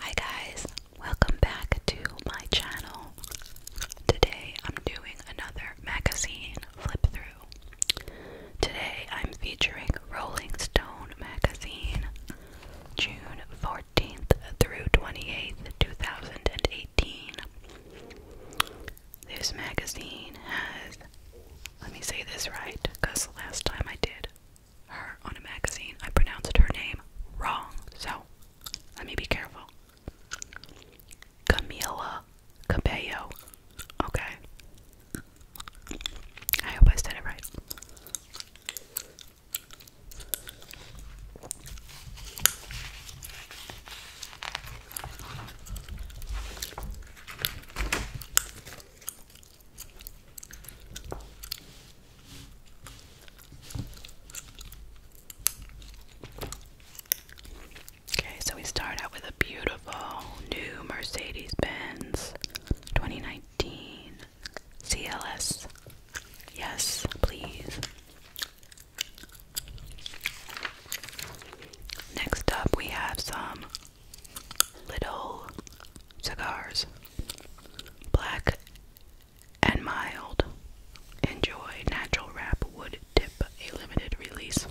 Hi guys, welcome back to my channel. Today I'm doing another magazine flip through. Today I'm featuring Rolling Stone magazine, June 14th through 28th, 2018. This magazine has let me say this right, because the last time I did her on a magazine, I pronounced her name wrong. So let me be careful. Camila Cabello. Okay. I hope I said it right. Okay, so we start out with a beautiful new Mercedes Benz 2019 CLS. Yes, please. Next up, we have some Little cigars, black and mild. Enjoy natural wrap wood dip, a limited release.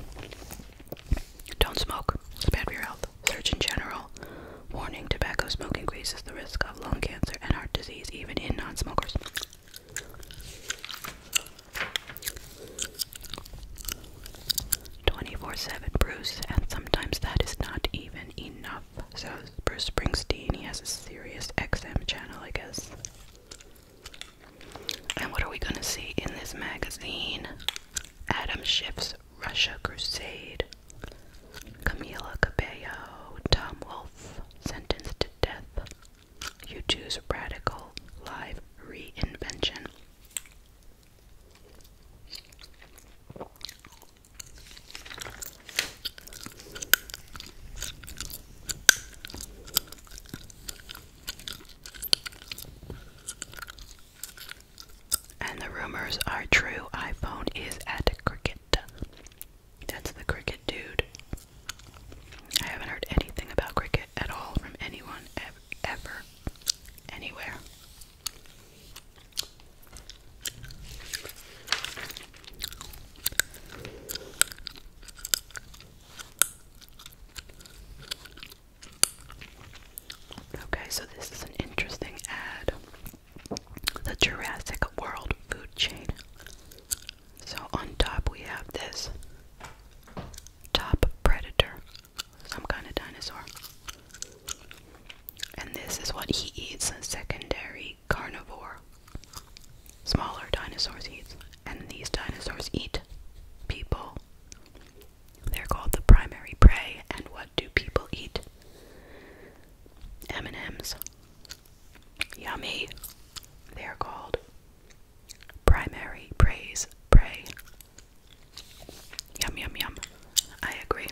Don't smoke, it's bad for your health. Surgeon General warning tobacco smoke increases the risk of lung cancer and heart disease, even in non smokers. 24 7 Bruce, and sometimes that is not even enough. So, Bruce Springsteen, he has a serious XM channel, I guess. And what are we gonna see in this magazine? Adam Schiff's Russia Crusade, Camila Cabello, Tom Wolfe, sentenced to death, U2's Radical Live Reinvention, and the rumors are true. iPhone is at Cricket. That's the Cricket dude. I haven't heard anything about Cricket at all from anyone ever ever, anywhere. Okay, so this is an interesting ad. The Jurassic World food chain. So on top we have this top predator some kind of dinosaur. And this is what he eats, a secondary carnivore. Smaller dinosaurs eat. And these dinosaurs eat people. They're called the primary prey. And what do people eat? M&Ms. Yummy. They're called Primary, praise, pray. Yum, yum, yum. I agree.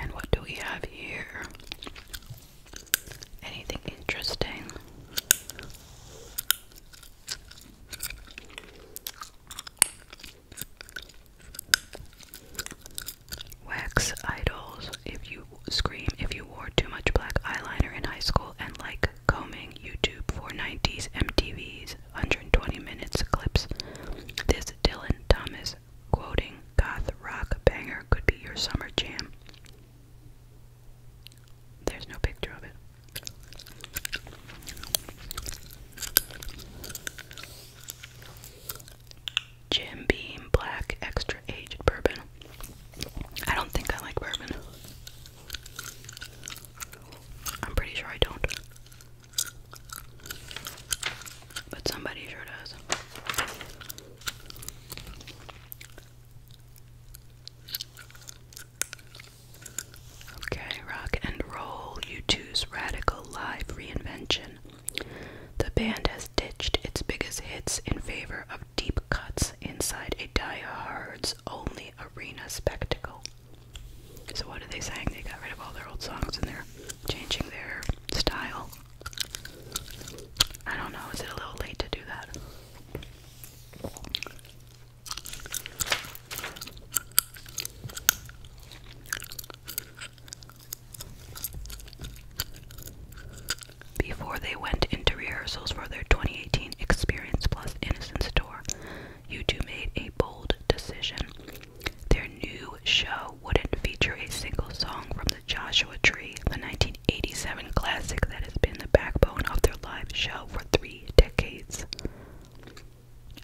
And what do we have here? Anything interesting? Wax idols. If you scream, if you wore too much black eyeliner in high school and like combing YouTube for 90s MTV's 120 minutes clips, this Dylan Thomas quoting goth rock banger could be your summer jam. There's no picture of it. Jim Beam Black Extra Aged Bourbon. I don't think I like bourbon. I'm pretty sure I don't. But somebody sure does. Okay, rock and roll. You two's radical live reinvention the band has ditched its biggest hits in favor of deep cuts inside a die-hard's only arena spectacle. So, what are they saying? They got rid of all their old songs and they're changing their style. I don't know, is it a little late to do that? Before they went into rehearsals for their 2018 Experience Plus Innocence Tour, U2 made a bold decision. Their new show wouldn't feature a single song from the Joshua Tree, the 1987 classic that has been the backbone of their live show for three decades.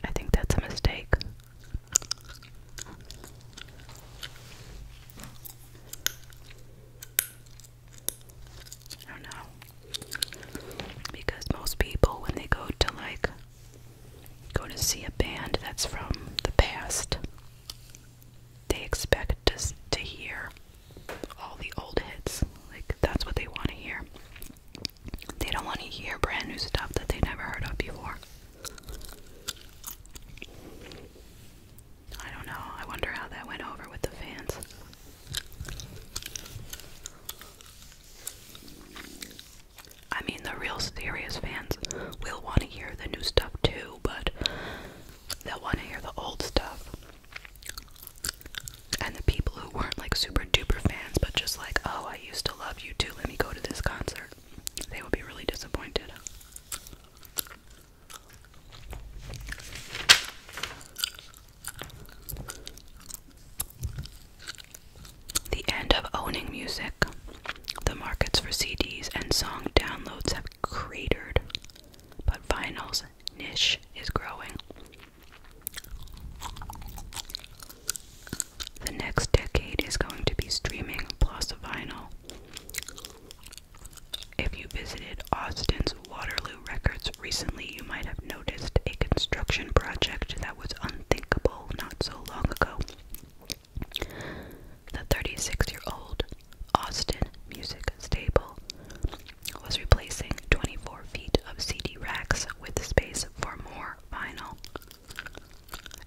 I think that's a mistake. I don't know. Because most people, when they go to like go to see a band that's from the past, they expect to, to hear all the old hits. Like that's what they want to hear. They don't want to hear brand new stuff that they never heard of before. I don't know. I wonder how that went over with the fans. I mean, the real serious fans will want to hear the new stuff too, but they'll want to hear the old stuff. And the people who weren't like super duper fans, but just like, oh, I used to love you too, let me go to this concert they will be really disappointed. The end of owning music. The markets for CDs and song downloads have cratered, but vinyl's niche is growing. The next decade is going to be streaming plus vinyl. If you visited Austin's Waterloo Records recently, you might have noticed a construction project that was unthinkable not so long ago. The 36 year old Austin Music Stable was replacing 24 feet of CD racks with space for more vinyl.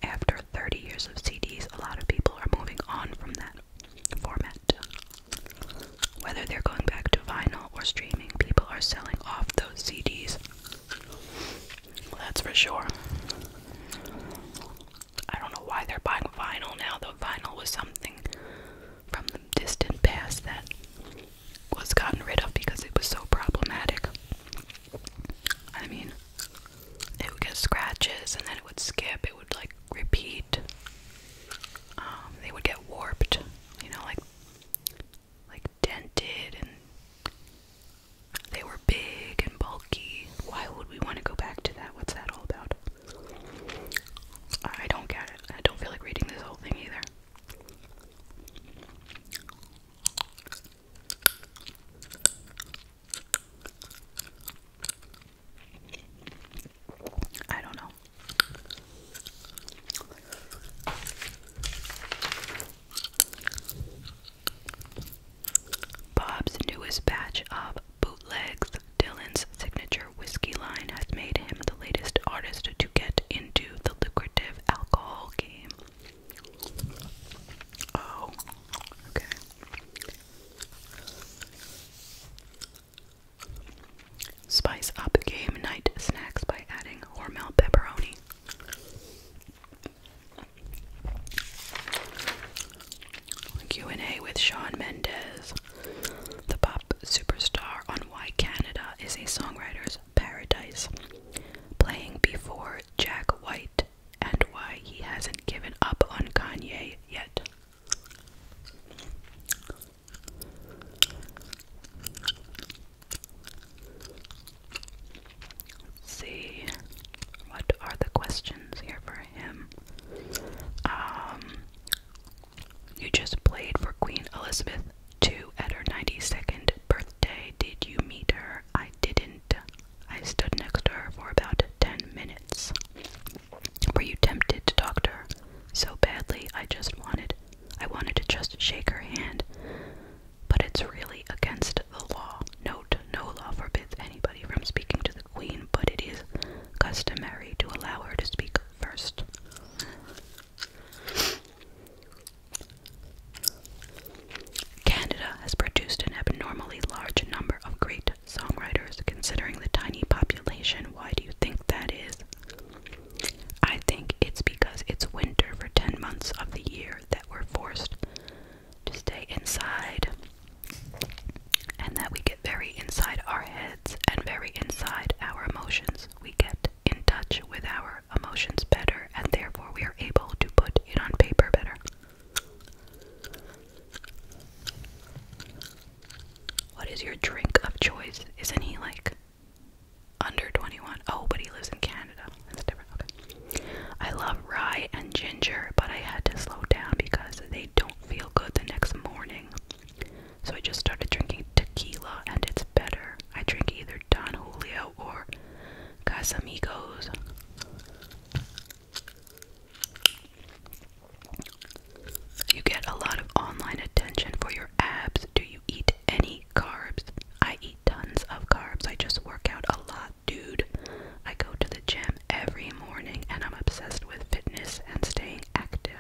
After 30 years of CDs, a lot of people are moving on from that format. Whether they're going back to vinyl or streaming, people are selling off those CDs. That's for sure. I don't know why they're buying vinyl now, though vinyl was something from the distant past that was gotten rid of because it was so problematic. I mean, it would get scratches and then it would skip, it would like repeat. Um, they would get warped, you know, like like dented and they were big and bulky. Why would we want to go back to that? What's that all about? I don't get it. I don't feel like reading this whole thing either. I don't know. Bob's newest batch of bootlegs, Dylan's signature whiskey line, has made him the latest artist to get into the lucrative alcohol game. Oh, Spice up game night snacks by adding Hormel pepperoni. Q&A with Sean Mendez, the pop superstar on Why Canada is a Songwriter's Paradise, playing before Jack White and why he hasn't given up on Kanye yet. see, what are the questions here for him? Um, you just played for Queen Elizabeth II at her 92nd birthday. Did you meet her? I didn't. I stood next to her for about ten minutes. Were you tempted to talk to her? So badly, I just wanted. I wanted to just shake her hand. But it's really against the law. Note, no law forbids anybody from speaking to the Queen, but it is customary to allow her to speak first. Canada has produced an abnormally large number of great songwriters. Considering the tiny population, why do you think that is? I think it's because it's winter for 10 months of the year that we're forced to stay inside and that we get very inside our heads and very inside our emotions. We get in touch with our emotions better, and therefore we are able to put it on paper better. What is your drink of choice? Isn't he like under 21? Oh, but he lives in Canada. That's different. Okay. I love rye and ginger, but I had to slow down because they don't feel good the next morning. So I just started drinking tequila and it's better. I drink either Don Julio or Got some egos. You get a lot of online attention for your abs. Do you eat any carbs? I eat tons of carbs. I just work out a lot, dude. I go to the gym every morning and I'm obsessed with fitness and staying active.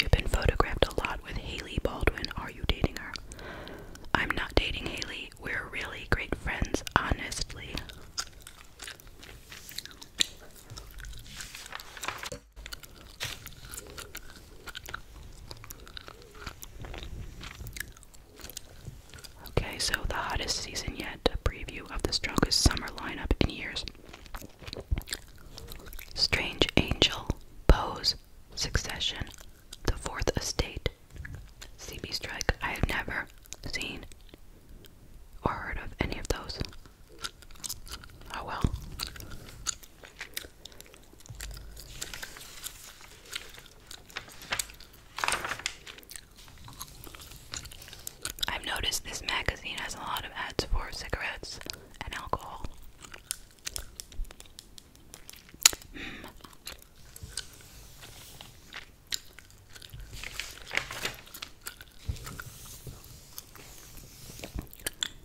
You've been photographed a lot with Haley Baldwin. Are you dating her? I'm not dating Haley. We're really great friends, honestly. Okay, so the hottest season yet, a preview of the strongest summer lineup in years. Strange Angel, Pose, Succession, The Fourth Estate, See me Strike. I have never seen or heard of any of those. Oh well. I've noticed this magazine has a lot of ads for cigarettes and alcohol.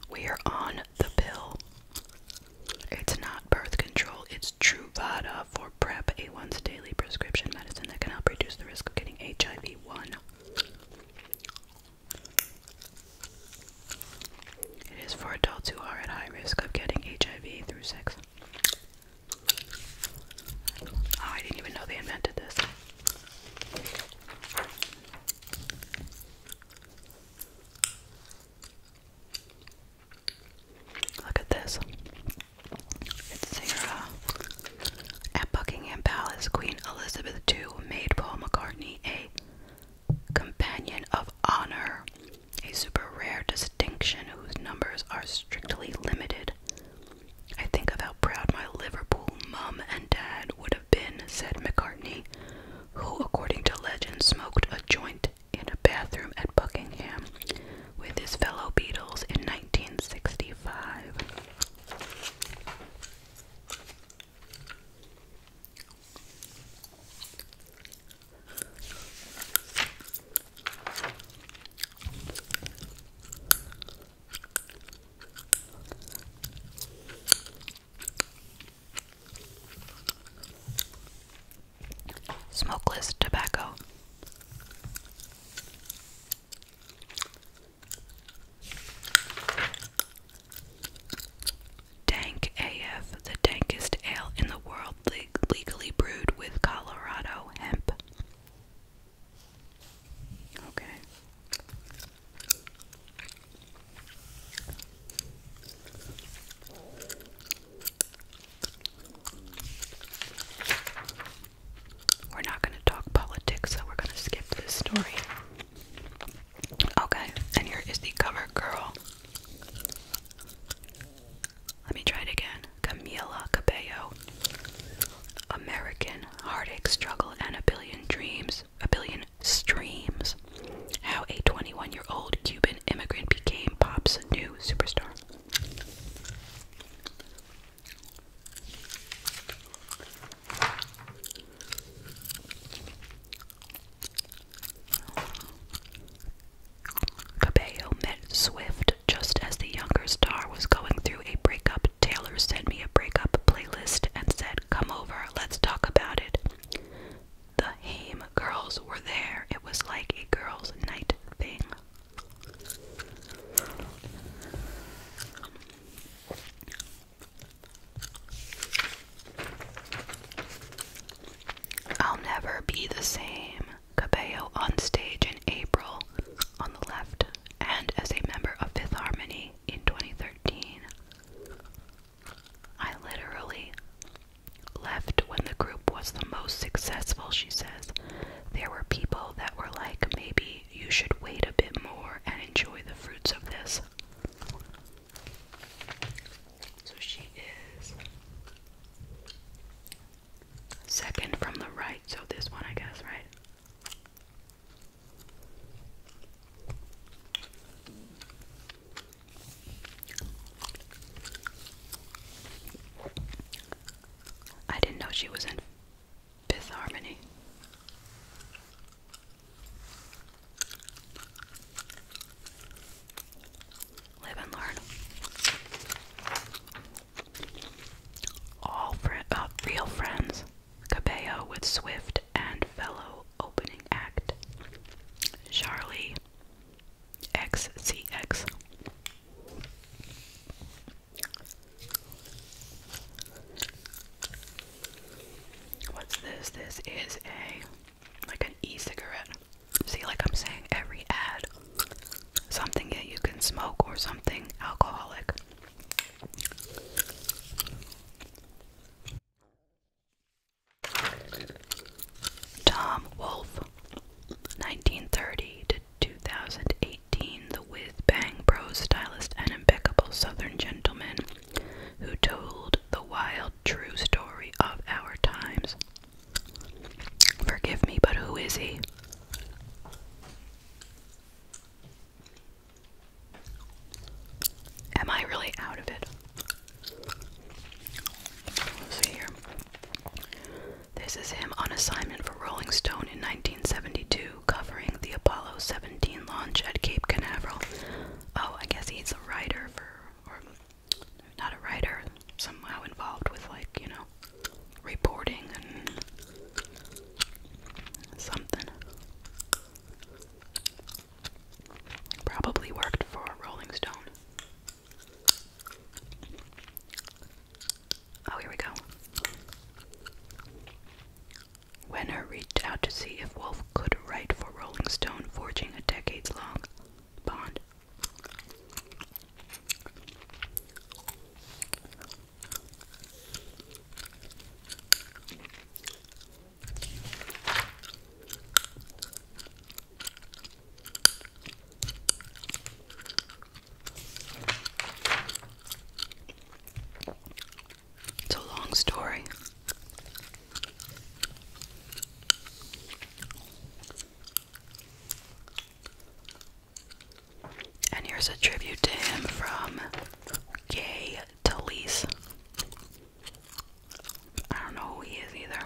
We are on the pill. It's not birth control, it's Truvada for PrEP, a once daily prescription medicine that can help reduce the risk of getting HIV 1. It is for adults who are at high risk of getting HIV through sex. Oh, I didn't even know they invented this. Look at this. It's Sarah. At Buckingham Palace, Queen Elizabeth II made Paul McCartney a Companion of Honor, a super rare distinction whose numbers are strictly limited. I think of how proud my Liverpool mum and dad would have been, said McCartney, who, according to legend, smoked a joint in a bathroom at Buckingham with his fellow Beatles in 1965. Smokeless tobacco. Dank AF, the dankest ale in the world, legally brewed with Colorado hemp. Okay. We're not going to talk politics, so we're going to skip this story. Okay, and here is the cover girl. Let me try it again. Camila Cabello. American heartache, struggle, and a billion dreams, a billion streams. How a 21 year old Cuban immigrant became pop's new superstar. Cabello met Swift just as the younger star was going through a breakup. Taylor sent me a breakup playlist and said, Come over, let's talk about it. The Haim girls were there. It was like a girls' night thing. I'll never be the same. Cabello on stage in April on the left and as a member of Fifth Harmony in 2013. I literally left when the group was the most successful, she says. There were people that were like maybe you should wait a bit more and enjoy the fruits of this. So she is second from the right, so this one, I guess, right? I didn't know she was in Fifth Harmony. Live and learn. All uh, real friends. Cabello with Swift and Fellow opening act. Charlie XCX. What's this? This is a like an e-cigarette. See, like I'm saying, every ad, something that you can smoke or something alcoholic. Tom Wolfe, 1930 to 2008. 18, the with bang pro stylist and impeccable southern gentleman who told the wild true story of our times. Forgive me, but who is he? Am I really out of it? Let's see here. This is him on assignment for Rolling Stone in 1972 covering the Apollo 17 launch at Cape Canaveral. Oh, I guess he's a writer for, or not a writer, somehow involved with, like, you know, reporting and something. Probably worked for Rolling Stone. Oh, here we go. Wenner reached out to see if Wolfe could write for Rolling Stone, forging a decades-long bond. It's a long story. And here's a tribute to him from Gay Talese. I don't know who he is either.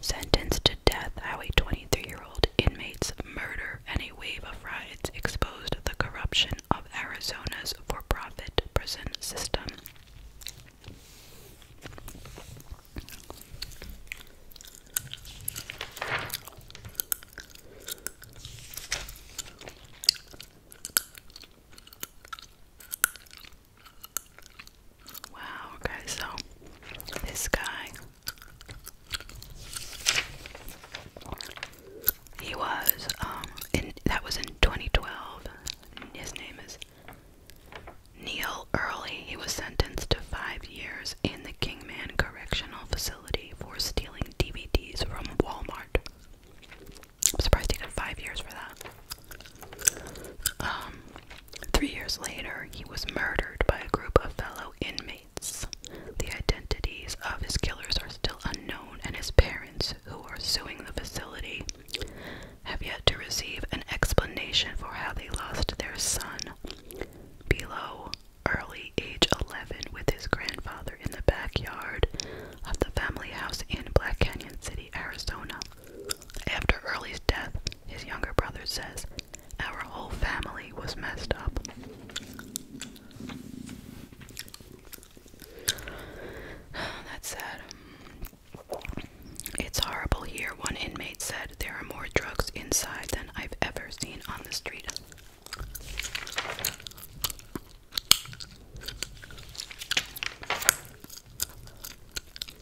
Sentenced to death, Highway 23 year inmate's murder and a wave of riots exposed the corruption of Arizona's for profit prison system. Wow, guys, so this guy he was, um, that was in 2012. His name is Neil Early. He was sentenced to five years in the Kingman Correctional Facility for stealing DVDs from Walmart. I'm surprised he got five years for that. Um, three years later, he was murdered by a group of fellow inmates. The identities of his killers are still unknown, and his parents, who are suing the facility, have yet to receive an explanation for how they lost their son, below early age 11, with his grandfather in the backyard of the family house in Black Canyon City, Arizona. After Early's death, his younger brother says our whole family was messed up. That's sad. It's horrible here, one inmate said. There are more drugs inside than I've ever seen on the street.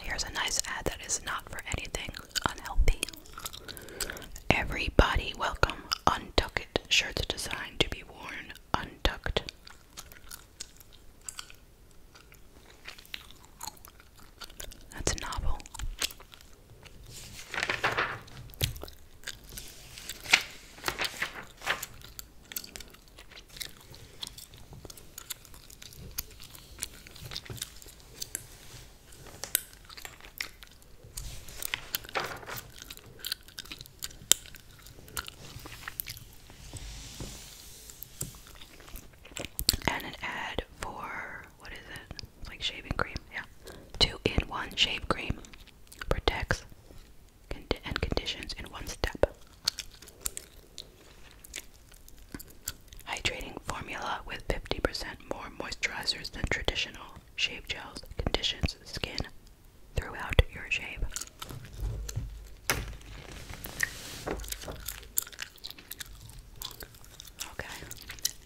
Here's a nice ad that is not for anything unhealthy. Everybody welcome untuck it shirts designed to be worn untucked. That's novel. And an ad for what is it? It's like shaving cream, yeah. Two in one shave cream protects and conditions in one step. Hydrating formula with 50% more moisturizers than traditional shave gels conditions skin throughout your shave. Okay,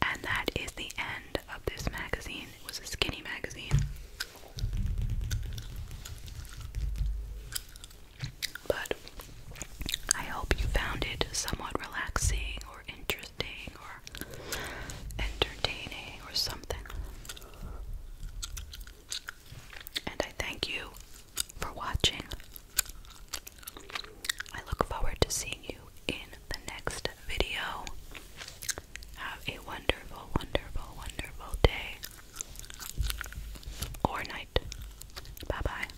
and that is the end of this magazine. was a skinny magazine. But I hope you found it somewhat relaxing or interesting or entertaining or something. And I thank you for watching. I look forward to seeing you in the next video. Have a wonderful, wonderful, wonderful day or night. Bye bye.